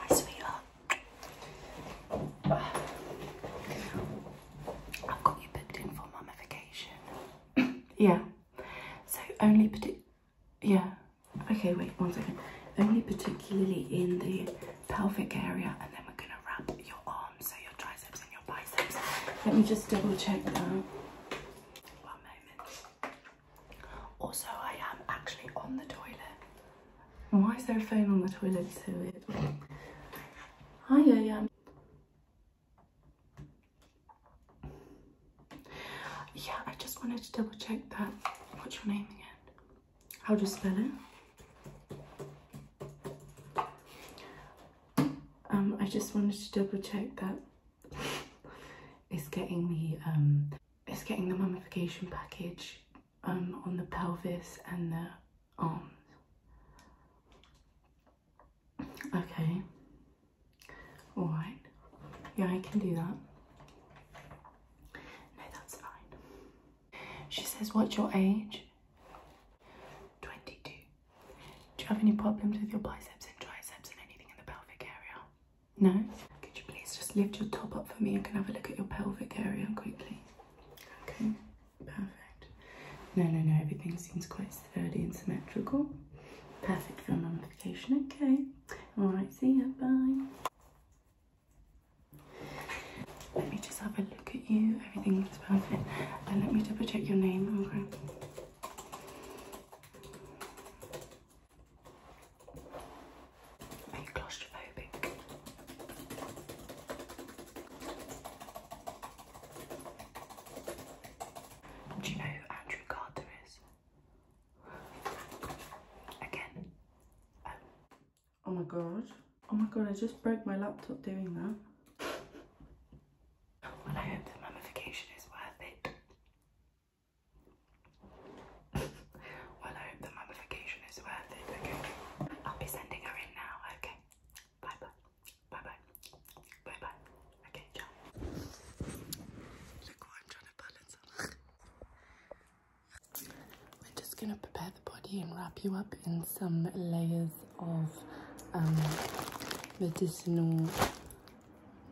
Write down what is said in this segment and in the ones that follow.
Hi, sweetheart. I've got you booked in for mummification. yeah. So only yeah. Okay, wait one second. Only particularly in the pelvic area, and then we're gonna wrap your arms, so your triceps and your biceps. Let me just double check that. One moment. Also, I am actually on the toilet. Why is there a phone on the toilet? It's so weird. Hi, yeah, yeah. Yeah, I just wanted to double check that. What's your name again? How do you spell it? Um, I just wanted to double check that it's getting me. um it's getting the mummification package um, on the pelvis and the arms. Okay, alright, yeah, I can do that. No, that's fine. She says, What's your age? 22. Do you have any problems with your biceps and triceps and anything in the pelvic area? No? Could you please just lift your top up for me? and can have a look at your pelvic area quickly. Okay, perfect. No, no, no, everything seems quite sturdy and symmetrical. Perfect for mummification, okay. Alright, see ya, bye. Let me just have a look at you. Everything looks perfect. And let me double check your name, okay? Are you claustrophobic? Do you know who Andrew Carter is? Again. Oh. oh. my god. Oh my god, I just broke my laptop doing that. Well, I hope the is worth it well, I hope the mummification is worth it, okay? I'll be sending her in now, okay? Bye bye. Bye bye. Bye bye. Okay, ciao. Look what I'm trying to balance on. We're just gonna prepare the body and wrap you up in some layers of um, medicinal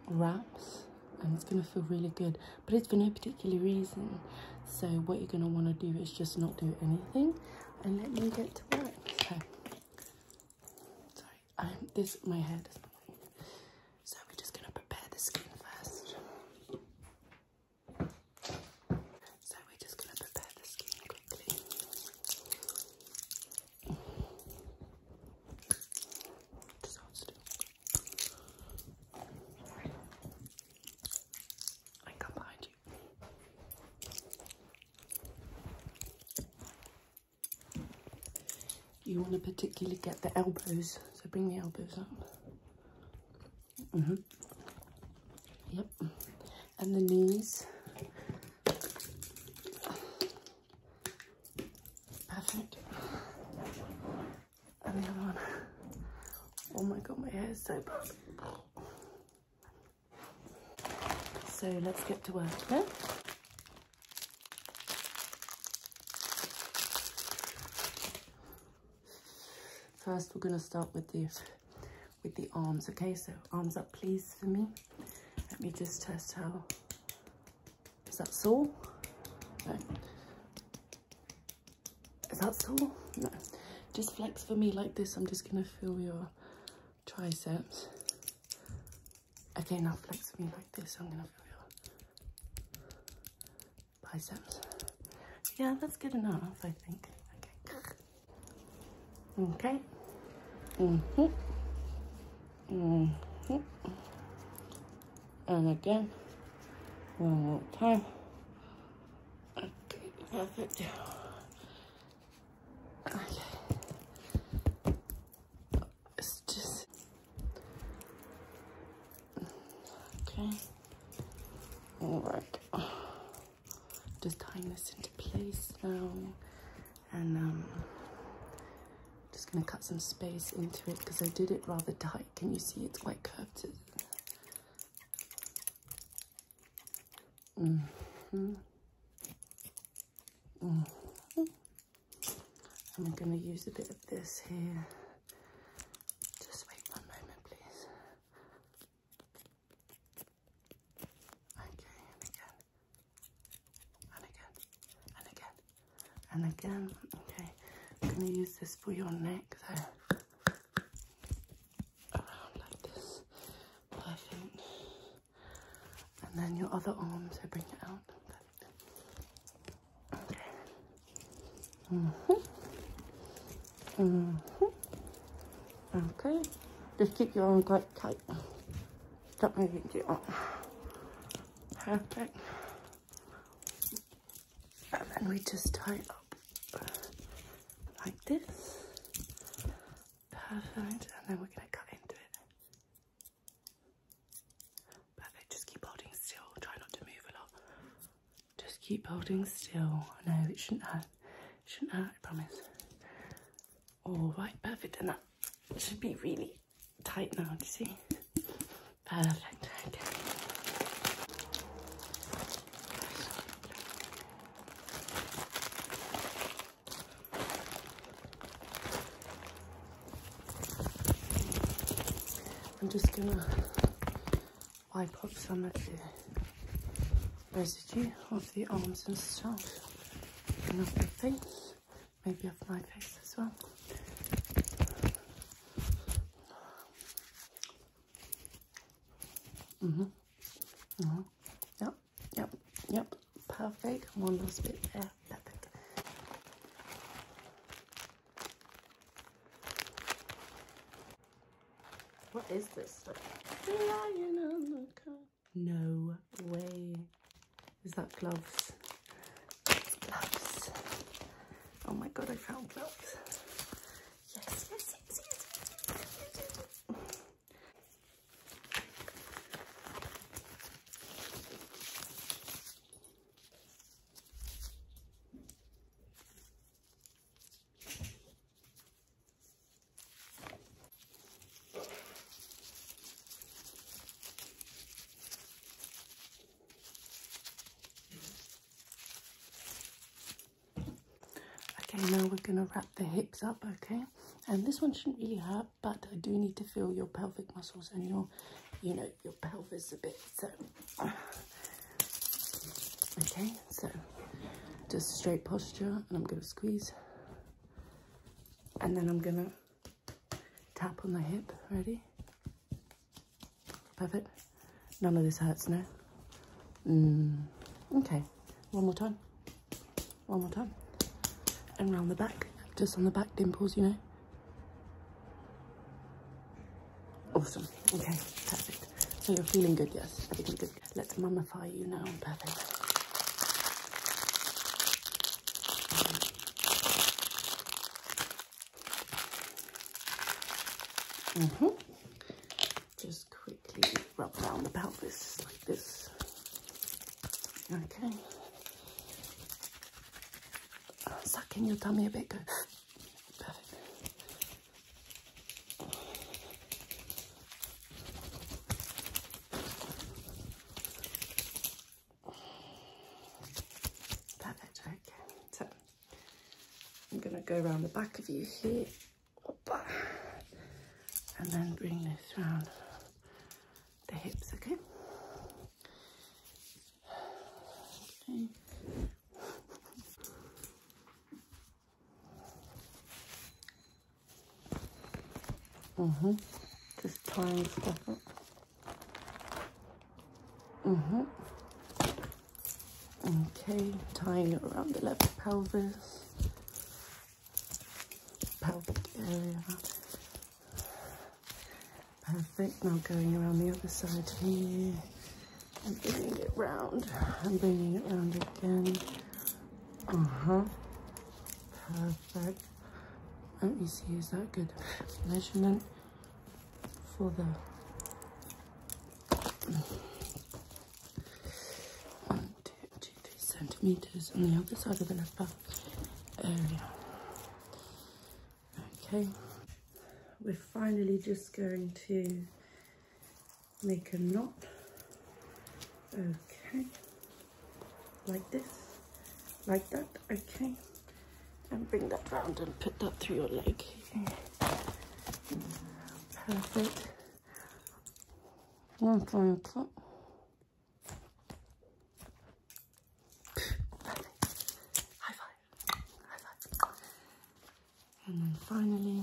wraps and it's going to feel really good but it's for no particular reason so what you're going to want to do is just not do anything and let me get to work so sorry i'm this my hair does so we're just going to prepare the skin first so we're just going to prepare the skin quickly I come behind you. You want to particularly get the elbows, so bring the elbows up. -hmm. Yep. And the knees. Perfect. And one. Oh my god, my hair is so bad. So let's get to work First, we're going to start with the with the arms. Okay, so arms up please for me. Let me just test how, is that sore? No. Is that sore? No. Just flex for me like this. I'm just gonna feel your triceps. Okay, now flex for me like this. I'm gonna feel your biceps. Yeah, that's good enough, I think. Okay. Okay. hmm hmm And again, one more time. Okay, perfect. Okay. All right just tying this into place now and I'm um, just going to cut some space into it because I did it rather tight. Can you see it's quite curved? Mm -hmm. I'm going to use a bit of this here. Just wait one moment, please. Okay, and again, and again, and again, and again. Okay, going to use this for your neck though. Around like this. Perfect. And then your other arms, so bring it out. Okay. Mm-hmm. Mm-hmm. Okay, just keep your arm quite tight. Stop moving too much. Perfect. And then we just tie it up like this. Perfect. And then we're going to cut into it. Perfect. Just keep holding still. Try not to move a lot. Just keep holding still. No, it shouldn't hurt. It shouldn't hurt, I promise. All right, perfect. And that should be really tight now, you see? Perfect, okay. I'm just gonna wipe off some of the residue of the arms and stuff and of the face, maybe of my face as well. Mm-hmm. Mm-hmm. Yep, yep, yep. Perfect. One last bit there. Perfect. What is this stuff? The lion on the car. No way. Is that gloves? It's gloves. Oh my god, I found gloves. Yes, yes, yes, yes, yes, Okay, now we're going to wrap the hips up, okay? And this one shouldn't really hurt, but I do need to feel your pelvic muscles and your, you know, your pelvis a bit. So Okay, so just straight posture and I'm going to squeeze. And then I'm going to tap on the hip. Ready? Perfect. None of this hurts now. Mm. Okay, one more time. One more time. And round the back, just on the back dimples, you know. Awesome. Okay, perfect. So you're feeling good, yes? Everything good. Let's mummify you now. Perfect. -hmm. Just quickly rub down the pelvis like this. Okay uh, suck in your tummy a bit. Go. Perfect. Perfect, okay. So I'm going to go around the back of you here and then bring this round the hips, okay? Okay. mm mm-hmm. Just tying stuff up. Mm-hmm. Okay, tying it around the left pelvis, pelvic area, Perfect. Now going around the other side here and bringing it round I'm bringing it round again. Uh-huh. Perfect. Let me see, is that good measurement for the... One, two, two, three centimeters on the other side of the left back. Um, okay, we're finally just going to make a knot. Okay, like this, like that, okay. And bring that round and put that through your leg. Perfect. One final cut. And then finally,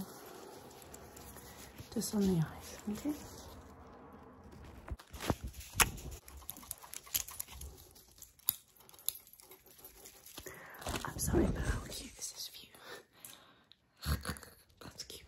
just on the eyes, okay? I'm sorry, but I will use this view. That's cute.